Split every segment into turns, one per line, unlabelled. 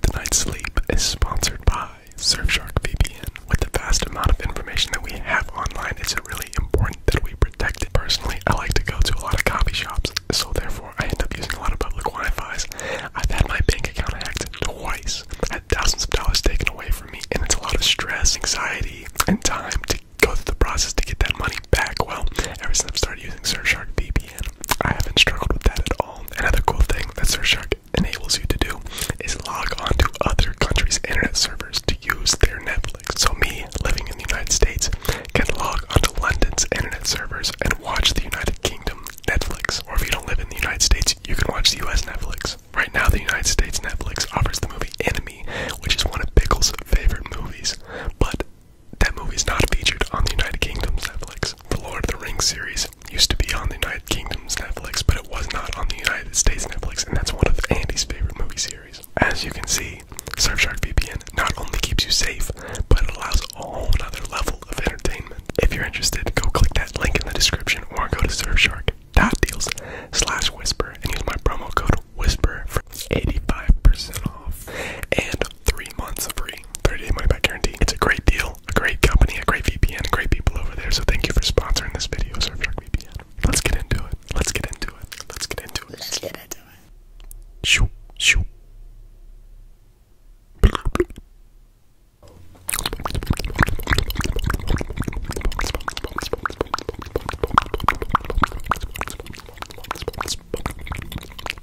Tonight's sleep is sponsored by Surfshark VPN. With the vast amount of information that we have online, it's really important that we protect it. Personally, I like to go to a lot of coffee shops, so therefore I end up using a lot of public Wi-Fi's. I've had my bank account hacked twice. i had thousands of dollars taken away from me, and it's a lot of stress, anxiety, and time to go through the process to get that money back. Well, ever since I've started using Surfshark VPN, I haven't struggled with that at all. Another cool thing that Surfshark enables you to do is log onto other countries' internet servers to use their Netflix. So me, living in the United States, can log onto London's internet servers and watch the United Kingdom Netflix. Or if you don't live in the United States, you can watch the US Netflix. Right now, the United States Netflix offers the movie Enemy, which is one of Pickles' favorite movies. But that movie is not featured on the United Kingdom Netflix. The Lord of the Rings series used to be on the United Kingdom's Netflix, but it was not on the United States Netflix, and that's one of Andy's favorite movie series. As you can see, Surfshark VPN not only keeps you safe, but it allows a whole other level of entertainment. If you're interested, go click that link in the description or go to surfshark.deals slash whisper and use my promo code whisper for 85% off. And three months free 30-day money-back guarantee. It's a great deal, a great company, a great VPN, great people over there. So thank you for sponsoring this video, Surfshark VPN. Let's get into it. Let's get into it. Let's get into it. Let's get into it. Shoo, shoo.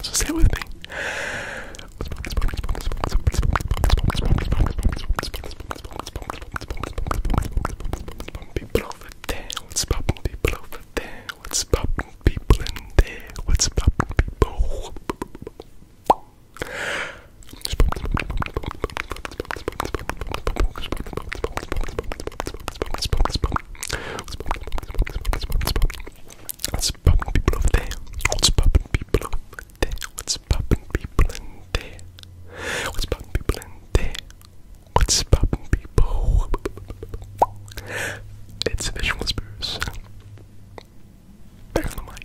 So say it with me. People over there, what's poppin'? People over there, what's poppin'? people in there? What's poppin', people? What's poppin' people over there? What's poppin' people over there? What's poppin' people in there? What's poppin' people in there? What's poppin' people? It's Visual Spruce. Back on the mic.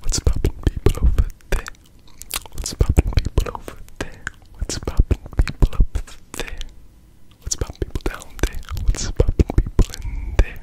What's poppin' people over there? What's poppin' people over there? What's poppin' people up there? What's poppin' people down there? What's poppin' people in there?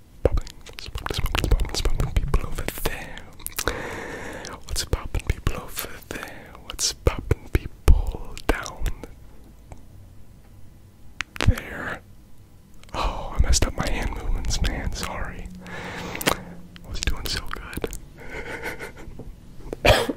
what's popping, people over there. What's popping, people over there? What's popping, people down there? Oh, I messed up my hand movements, man. Sorry. I was doing so good.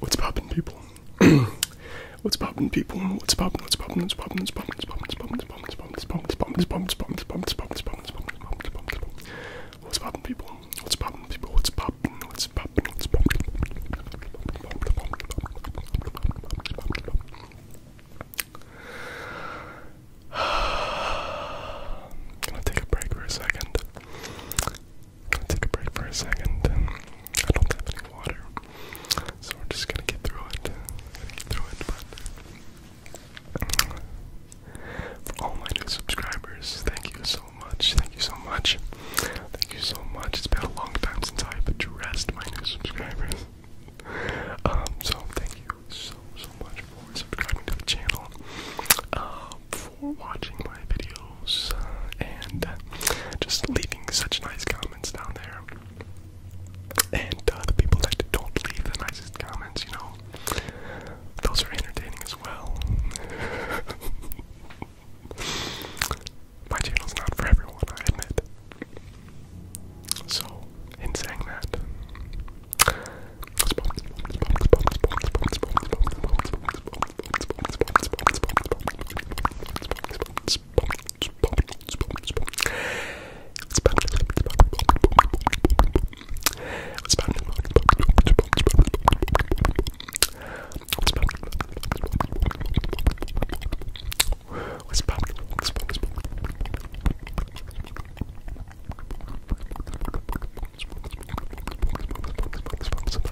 What's poppin' people? What's poppin' people? What's poppin'? What's poppin'? What's poppin'? What's poppin'? What's poppin'? What's poppin'? What's poppin'? What's poppin'? What's poppin'? What's poppin'? What's poppin'? What's poppin'? What's poppin'? What's poppin'? What's poppin'? What's poppin'? What's poppin'? People. What's poppin', What's poppin'? What's poppin'? What's poppin'? Gonna take a break for a second. Gonna take a break for a second. I don't have any water, so we're just gonna get through it. get through it, For all my new subscribers, thank you so Thank you so much. Thank you so much. It's been a long time since I've addressed my new subscribers. Um, so thank you so so much for subscribing to the channel, um, for watching my videos, uh, and just leaving such nice comments down there. And uh, the people that don't leave the nicest comments, you know, those are entertaining as well. My channel's not for everyone, I admit. So, in saying that, What's up? What's up? What's up?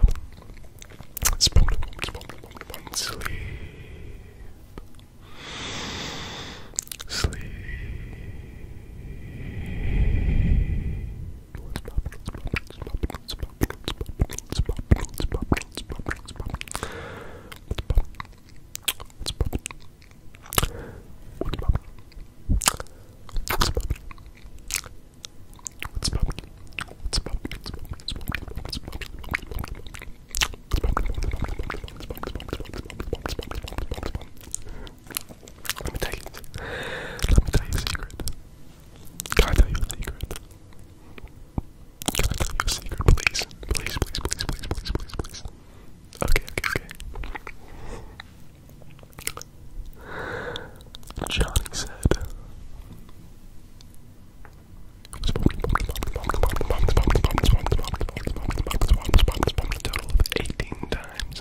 Sleep. Sleep. Let me tell you. Let me tell you a secret. Can I tell you a secret? Can I tell you a secret, please? Please, please, please, please, please, please, okay. Johnny said. Total of eighteen times.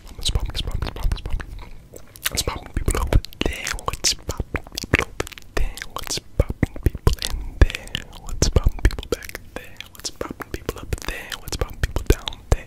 It's popping, it's people What's popping people over there? What's popping people in there? What's popping people back there? What's popping people up there? What's popping people down there?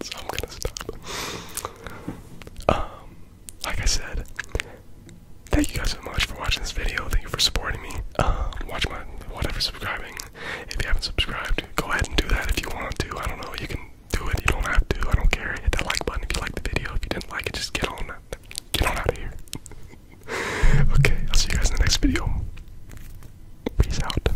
so I'm gonna stop. Um, like I said, thank you guys so much for watching this video. Thank you for supporting me. Um, watch my whatever subscribing. If you haven't subscribed, go ahead and do that if you want to. I don't know. You can do it. You don't have to. I don't care. Hit that like button if you like the video. If you didn't like it, just get on get on out of here. okay, I'll see you guys in the next video. Peace out.